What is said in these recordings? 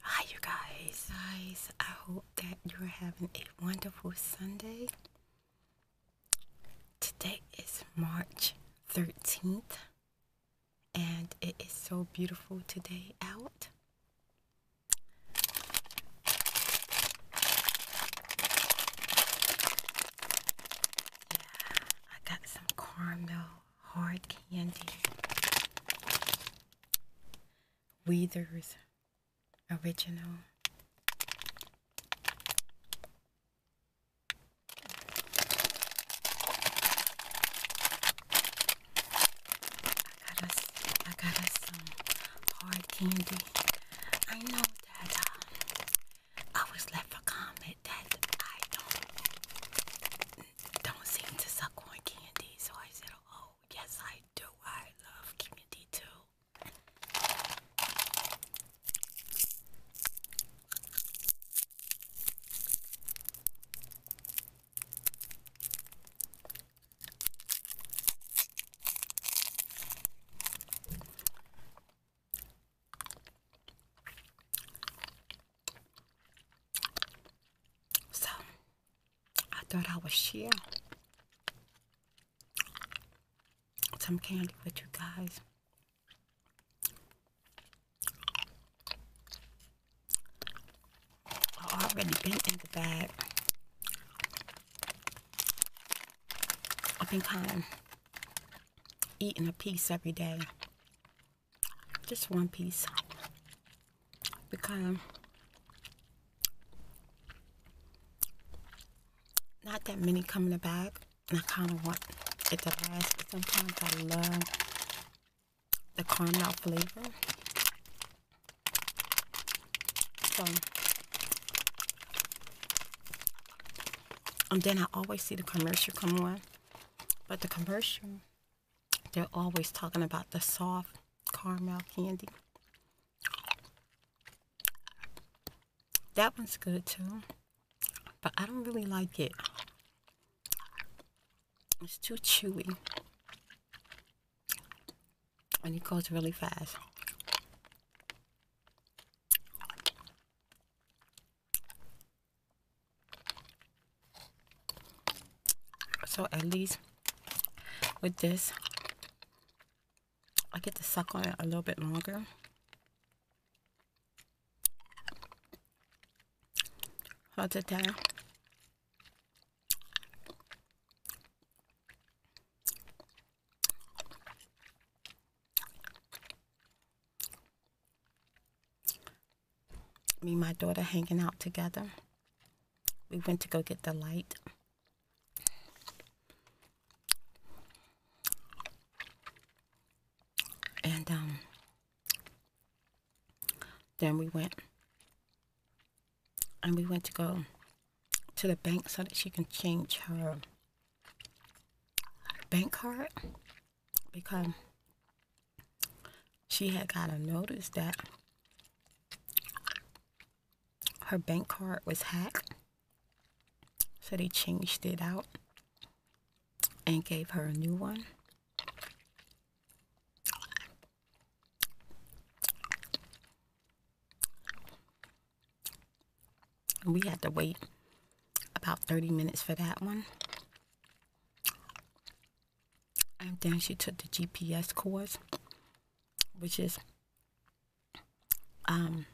Hi, you guys. Guys, I hope that you're having a wonderful Sunday. Today is March 13th, and it is so beautiful today out. Yeah, I got some caramel hard candy. Weathers original. I got us, got us some hard candy. I know that uh, I was left a comment that I don't don't seem to suck on candy, so I said, "Oh, yes, I do. I love candy too." So I thought I would share some candy with you guys. I already been in the bag. I've been kind of eating a piece every day just one piece because not that many come in the bag and I kind of want it to last but sometimes I love the caramel flavor so and um, then I always see the commercial come on but the commercial, they're always talking about the soft caramel candy. That one's good too, but I don't really like it. It's too chewy. And it goes really fast. So at least with this, I get to suck on it a little bit longer. Hard to tell me and my daughter hanging out together. We went to go get the light. And um, then we went and we went to go to the bank so that she can change her bank card because she had got a notice that her bank card was hacked. So they changed it out and gave her a new one. We had to wait about 30 minutes for that one. And then she took the GPS course, which is um,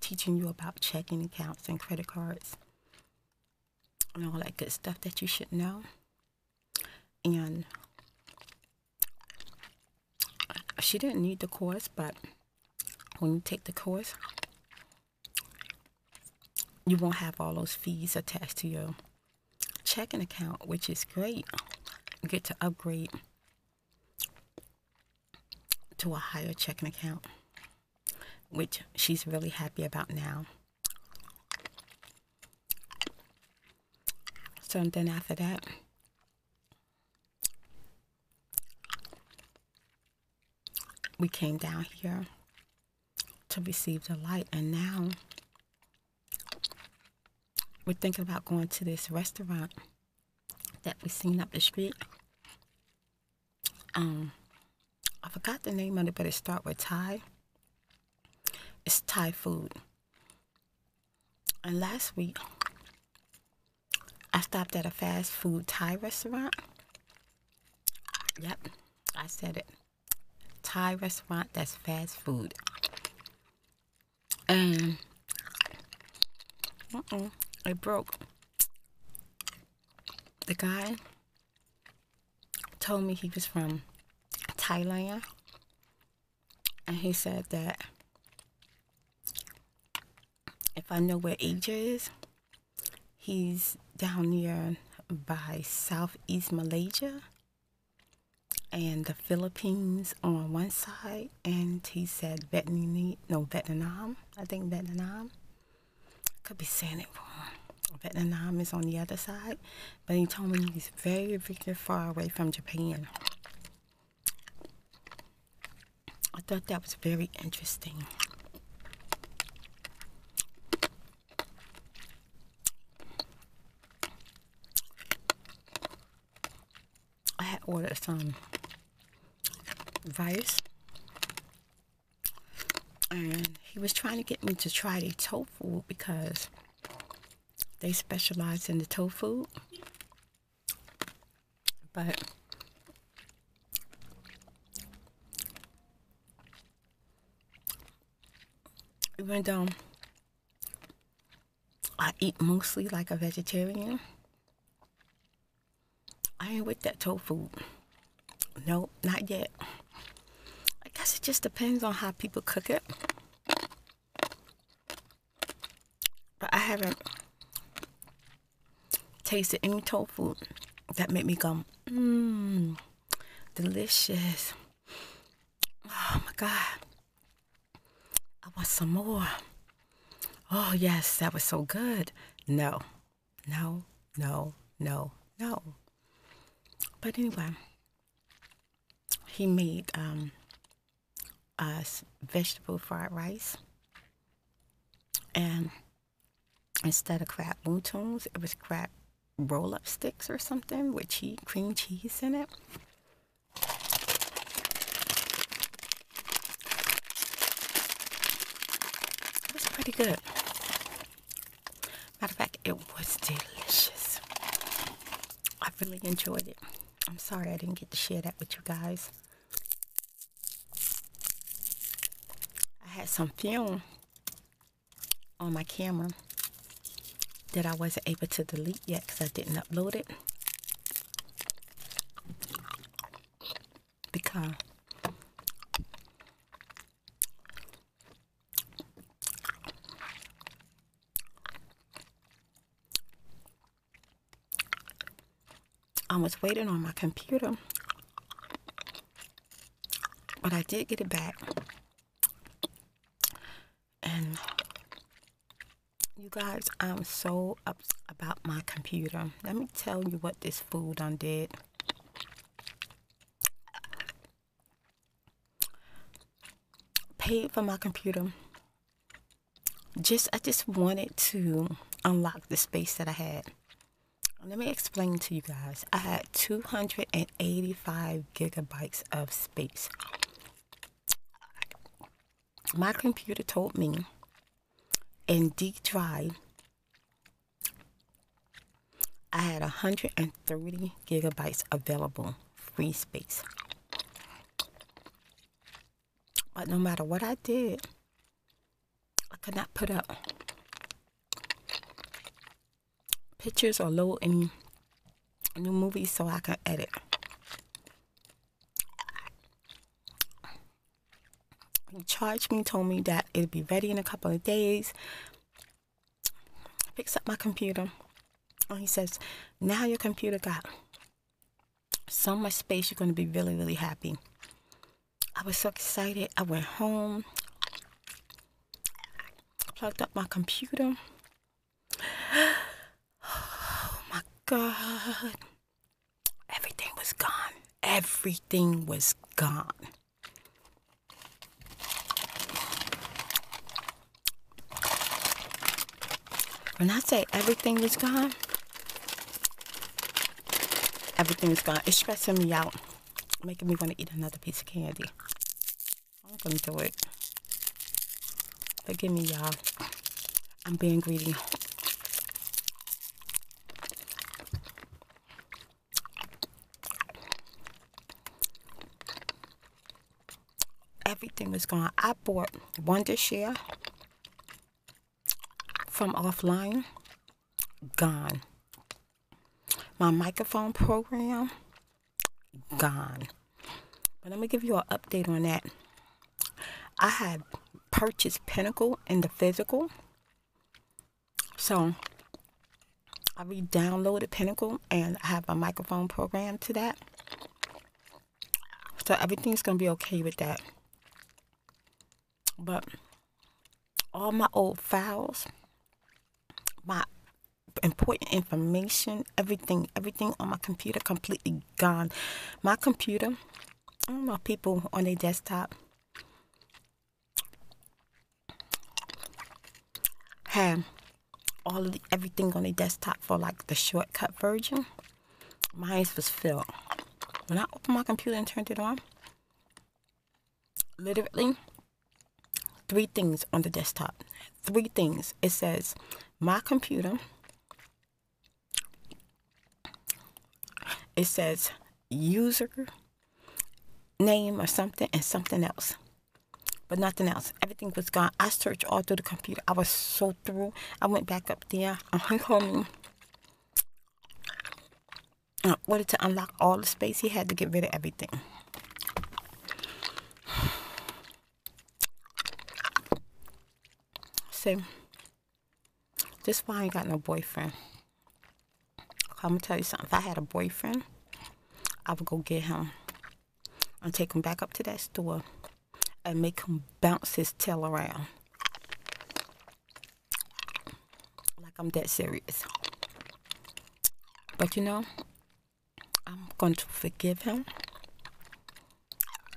teaching you about checking accounts and credit cards and all that good stuff that you should know. And she didn't need the course, but when you take the course, you won't have all those fees attached to your checking account, which is great. get to upgrade to a higher checking account, which she's really happy about now. So then after that, we came down here to receive the light and now we're thinking about going to this restaurant that we seen up the street um i forgot the name of it but it start with thai it's thai food and last week i stopped at a fast food thai restaurant Yep, I said it. Thai restaurant that's fast food. And uh -oh, it broke. The guy told me he was from Thailand. And he said that if I know where Asia is, He's down near by Southeast Malaysia and the Philippines on one side, and he said Vietnam, no Vietnam, I think Vietnam. Could be saying it wrong. Vietnam is on the other side, but he told me he's very, very far away from Japan. I thought that was very interesting. I had ordered some rice and he was trying to get me to try the tofu because they specialize in the tofu but even though I eat mostly like a vegetarian, I ain't with that tofu. No, not yet. I guess it just depends on how people cook it. But I haven't tasted any tofu that made me go, mmm delicious. Oh my God. I want some more. Oh, yes, that was so good. No, no, no, no, no. But anyway, he made um, us vegetable fried rice. And instead of crab wontons, it was crab roll up sticks or something with cream cheese in it. It was pretty good. Matter of fact, it was delicious. I really enjoyed it. I'm sorry I didn't get to share that with you guys. I had some film on my camera that I wasn't able to delete yet because I didn't upload it. Because I was waiting on my computer but I did get it back. And you guys, I'm so up about my computer. Let me tell you what this food done did. Paid for my computer. Just I just wanted to unlock the space that I had. Let me explain to you guys. I had 285 gigabytes of space. My computer told me in D drive I had 130 gigabytes available free space. But no matter what I did, I could not put up pictures or low in new movies so I can edit. He charged me, told me that it'd be ready in a couple of days. Picks up my computer and he says, Now your computer got so much space, you're going to be really, really happy. I was so excited. I went home. Plugged up my computer. Oh my God. Everything was gone. Everything was gone. When I say everything was gone, everything was gone. It's stressing me out making me want to eat another piece of candy. I'm gonna do it. Forgive me, y'all. I'm being greedy. Everything was gone. I bought one this from offline. Gone my microphone program gone. But let me give you an update on that. I had purchased Pinnacle and the physical. So I re downloaded Pinnacle and I have a microphone program to that. So everything's going to be okay with that. But all my old files, my important information, everything, everything on my computer completely gone. My computer, my people on their desktop have all the, everything on their desktop for like the shortcut version. Mine was filled. When I opened my computer and turned it on, literally three things on the desktop. Three things. It says my computer. It says user name or something and something else. But nothing else. Everything was gone. I searched all through the computer. I was so through. I went back up there. I'm home in uh, order to unlock all the space, he had to get rid of everything. So, just why I ain't got no boyfriend. I'm gonna tell you something. If I had a boyfriend, I would go get him and take him back up to that store and make him bounce his tail around. Like I'm that serious. But you know, I'm going to forgive him.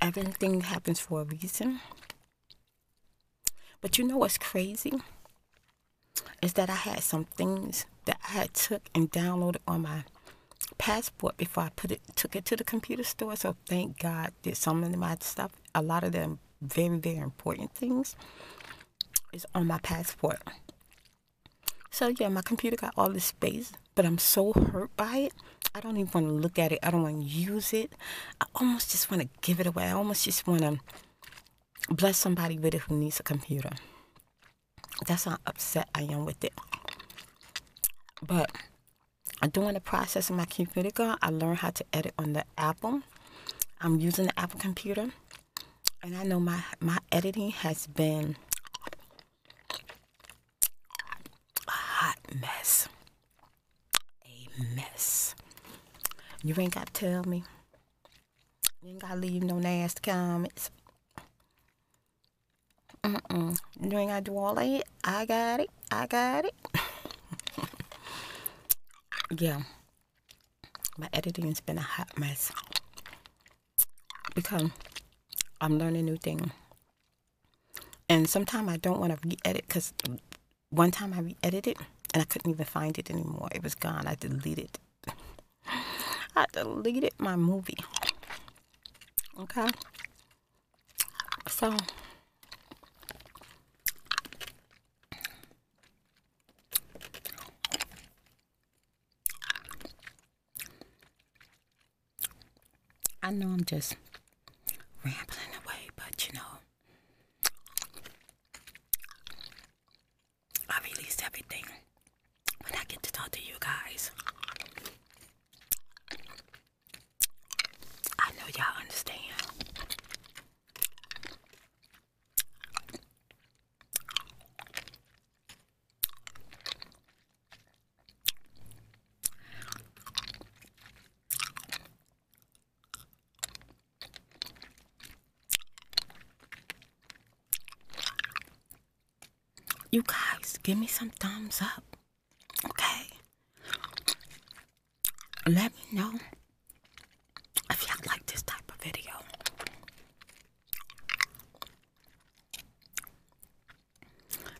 Everything happens for a reason. But you know what's crazy? Is that I had some things that I had took and downloaded on my passport before I put it took it to the computer store. So thank God that some of my stuff, a lot of them very, very important things is on my passport. So yeah, my computer got all this space, but I'm so hurt by it. I don't even want to look at it. I don't want to use it. I almost just want to give it away. I almost just want to bless somebody with it who needs a computer. That's how upset I am with it. But I do want to process of my computer, I learned how to edit on the Apple. I'm using the Apple computer and I know my my editing has been a hot mess. A mess. You ain't gotta tell me. You ain't gotta leave no nasty comments. Mm-mm. You ain't gotta do all that. I got it. I got it. yeah my editing has been a hot mess because I'm learning new things, And sometimes I don't want to re-edit because one time I re-edited and I couldn't even find it anymore. It was gone. I deleted. I deleted my movie. Okay. So I know I'm just rambling away, but you know, I release everything when I get to talk to you guys. I know y'all understand. You guys, give me some thumbs up. Okay. Let me know if y'all like this type of video.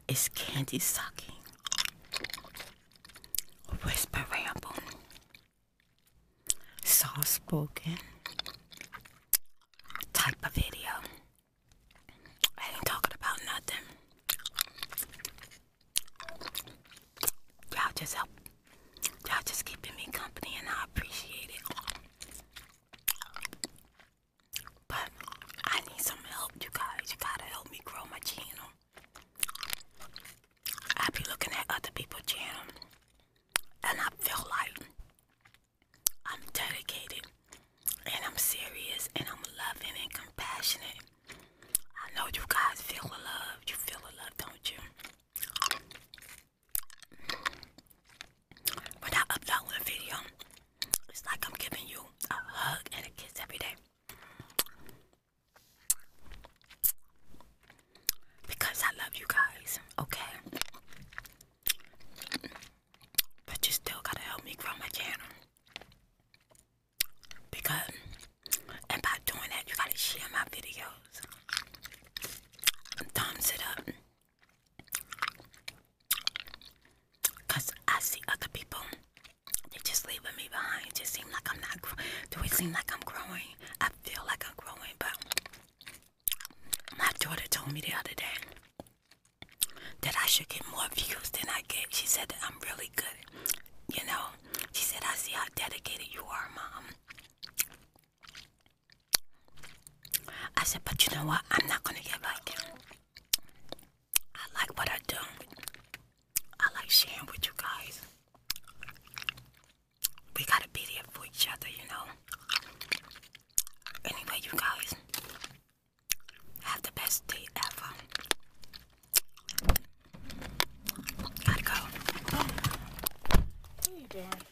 It's candy sucking, whisper ramble, soft spoken type of video. I ain't talking about nothing. Y'all just help. Y'all just keeping me company, and I appreciate it. But I need some help, you guys. You gotta help me grow my channel. I be looking at other people's channel, and I feel like I'm dedicated, and I'm serious, and I'm loving and compassionate. I know you guys feel the love. You feel the love, don't you? When I a video, it's like I'm giving you a hug and a kiss every day. Because I love you guys, okay? But you still gotta help me grow my channel. Because, and by doing that, you gotta share my videos. Thumbs it up. Cause I see other people, they just leaving me behind. It just seem like I'm not. Do it seem like I'm growing? I feel like I'm growing, but my daughter told me the other day that I should get more views than I get. She said that I'm really good. You know, she said I see how dedicated you are, mom. I said, but you know what? I'm not gonna get like him. I like what I do. I like sharing with you guys. We gotta be there for each other, you know. Anyway, you guys have the best day ever. Gotta go. What are you doing?